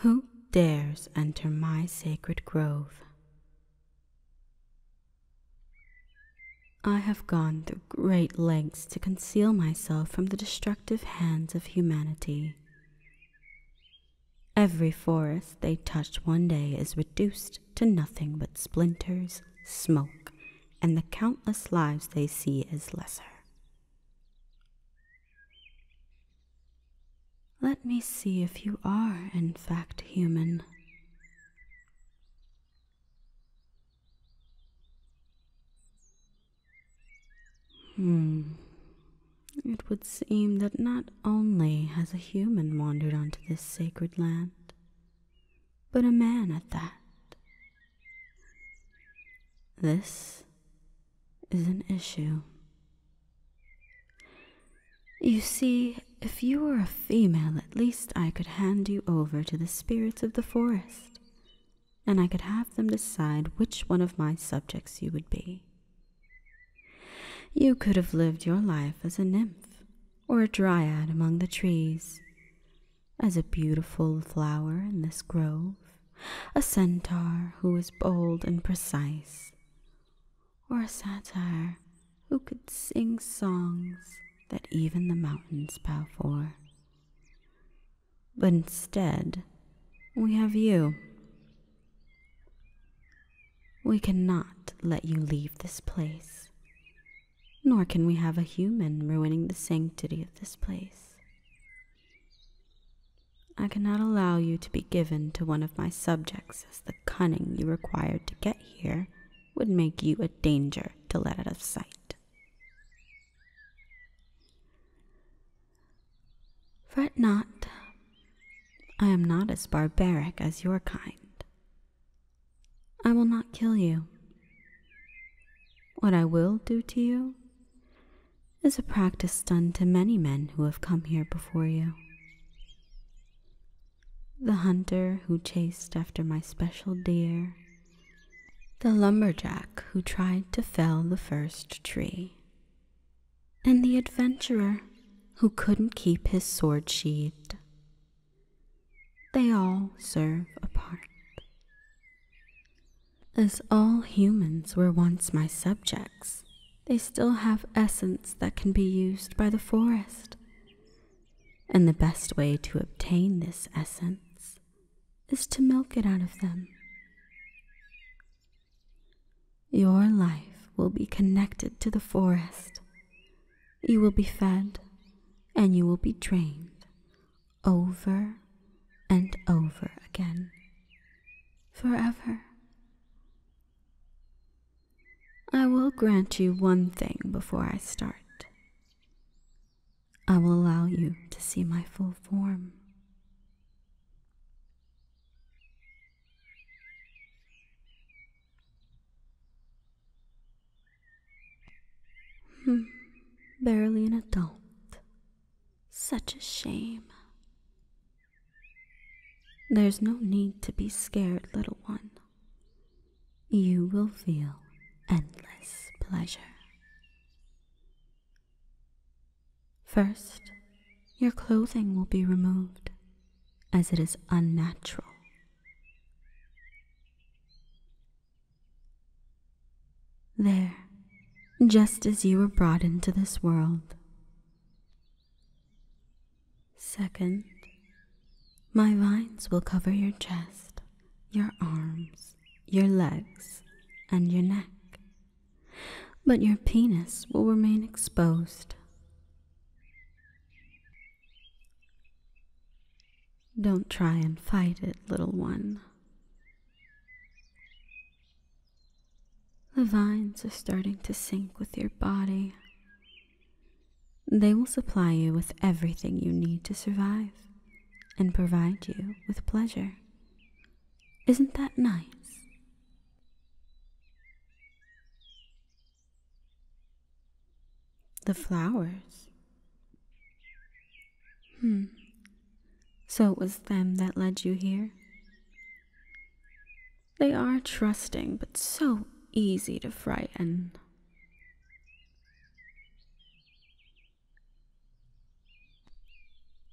Who dares enter my sacred grove? I have gone through great lengths to conceal myself from the destructive hands of humanity. Every forest they touch one day is reduced to nothing but splinters, smoke, and the countless lives they see as lesser. Let me see if you are, in fact, human. Hmm. It would seem that not only has a human wandered onto this sacred land, but a man at that. This is an issue. You see, if you were a female, at least I could hand you over to the spirits of the forest, and I could have them decide which one of my subjects you would be. You could have lived your life as a nymph or a dryad among the trees, as a beautiful flower in this grove, a centaur who is bold and precise, or a satyr who could sing songs that even the mountains bow for. But instead, we have you. We cannot let you leave this place, nor can we have a human ruining the sanctity of this place. I cannot allow you to be given to one of my subjects, as the cunning you required to get here would make you a danger to let out of sight. Fret not, I am not as barbaric as your kind. I will not kill you. What I will do to you is a practice done to many men who have come here before you. The hunter who chased after my special deer, the lumberjack who tried to fell the first tree, and the adventurer who couldn't keep his sword sheathed. They all serve a part. As all humans were once my subjects, they still have essence that can be used by the forest. And the best way to obtain this essence is to milk it out of them. Your life will be connected to the forest. You will be fed and you will be drained over and over again forever. I will grant you one thing before I start. I will allow you to see my full form. Hmm. barely an adult, such a shame. There's no need to be scared, little one. You will feel endless pleasure. First, your clothing will be removed, as it is unnatural. There, just as you were brought into this world. Second, my vines will cover your chest, your arms, your legs, and your neck. But your penis will remain exposed. Don't try and fight it, little one. The vines are starting to sink with your body. They will supply you with everything you need to survive and provide you with pleasure. Isn't that nice? The flowers. Hmm, so it was them that led you here? They are trusting, but so easy to frighten.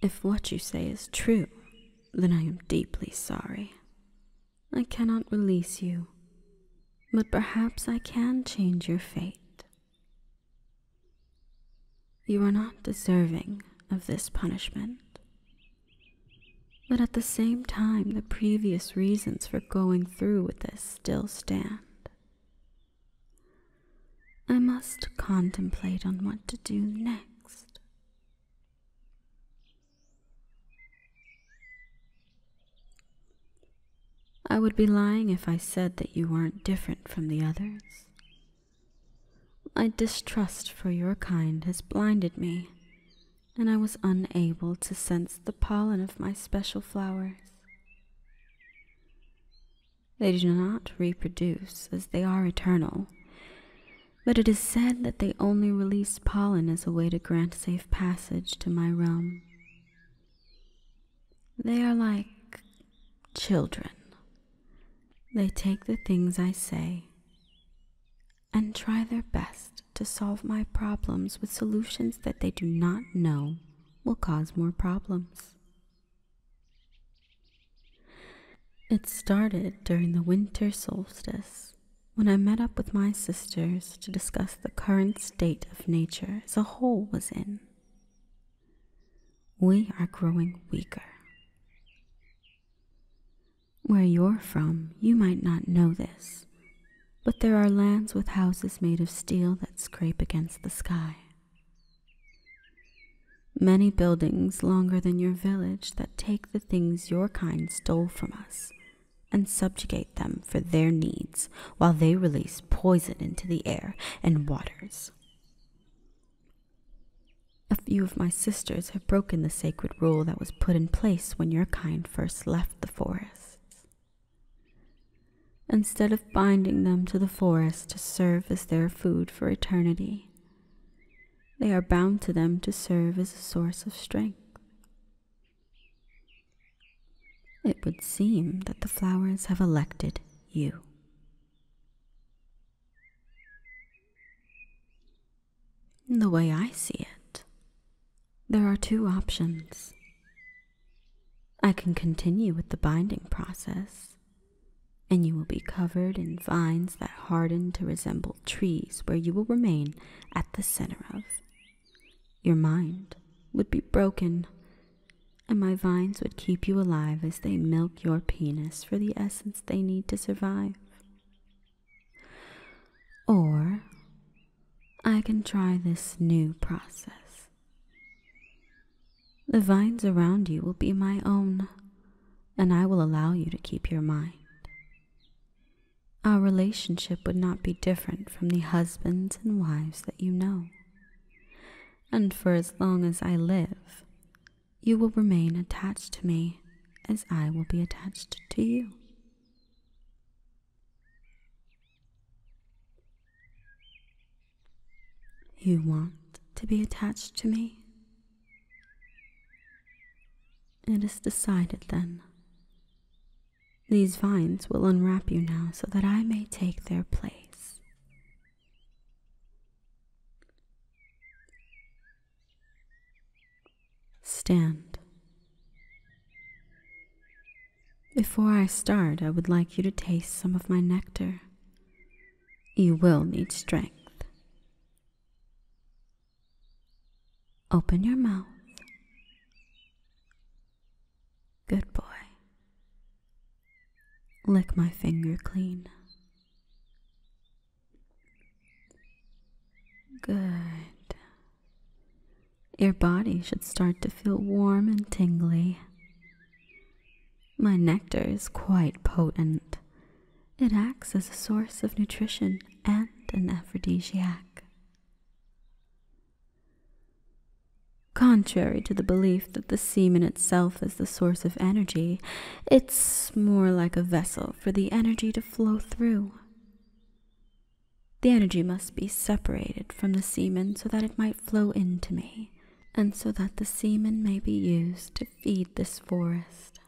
If what you say is true, then I am deeply sorry. I cannot release you, but perhaps I can change your fate. You are not deserving of this punishment. But at the same time, the previous reasons for going through with this still stand. I must contemplate on what to do next. I would be lying if I said that you weren't different from the others, my distrust for your kind has blinded me, and I was unable to sense the pollen of my special flowers. They do not reproduce, as they are eternal, but it is said that they only release pollen as a way to grant safe passage to my realm. They are like children they take the things I say and try their best to solve my problems with solutions that they do not know will cause more problems. It started during the winter solstice when I met up with my sisters to discuss the current state of nature as a whole was in. We are growing weaker. Where you're from, you might not know this, but there are lands with houses made of steel that scrape against the sky. Many buildings longer than your village that take the things your kind stole from us and subjugate them for their needs while they release poison into the air and waters. A few of my sisters have broken the sacred rule that was put in place when your kind first left the forests. Instead of binding them to the forest to serve as their food for eternity, they are bound to them to serve as a source of strength. It would seem that the flowers have elected you. In the way I see it, there are two options. I can continue with the binding process, and you will be covered in vines that harden to resemble trees where you will remain at the center of. Your mind would be broken, and my vines would keep you alive as they milk your penis for the essence they need to survive. Or I can try this new process. The vines around you will be my own, and I will allow you to keep your mind. Our relationship would not be different from the husbands and wives that you know. And for as long as I live, you will remain attached to me as I will be attached to you. You want to be attached to me? It is decided then. These vines will unwrap you now so that I may take their place. Stand. Before I start, I would like you to taste some of my nectar. You will need strength. Open your mouth. Good boy. Lick my finger clean. Good. Your body should start to feel warm and tingly. My nectar is quite potent. It acts as a source of nutrition and an aphrodisiac. Contrary to the belief that the semen itself is the source of energy, it's more like a vessel for the energy to flow through. The energy must be separated from the semen so that it might flow into me, and so that the semen may be used to feed this forest.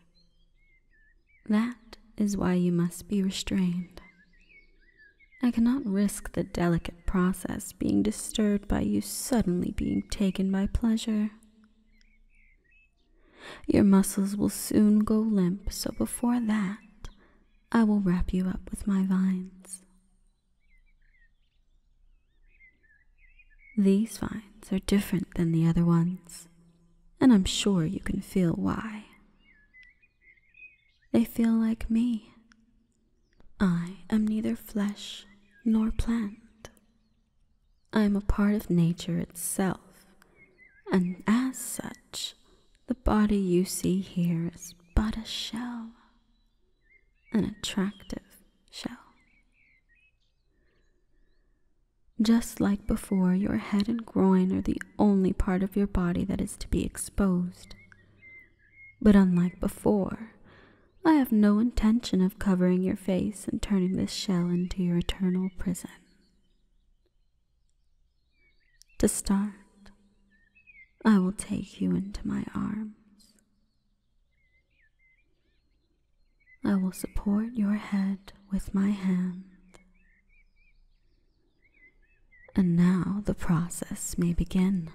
That is why you must be restrained. I cannot risk the delicate process being disturbed by you suddenly being taken by pleasure. Your muscles will soon go limp, so before that, I will wrap you up with my vines. These vines are different than the other ones, and I'm sure you can feel why. They feel like me. I am neither flesh nor plant. I am a part of nature itself, and as such, the body you see here is but a shell, an attractive shell. Just like before, your head and groin are the only part of your body that is to be exposed. But unlike before, I have no intention of covering your face and turning this shell into your eternal prison. To start, I will take you into my arms. I will support your head with my hand. And now the process may begin.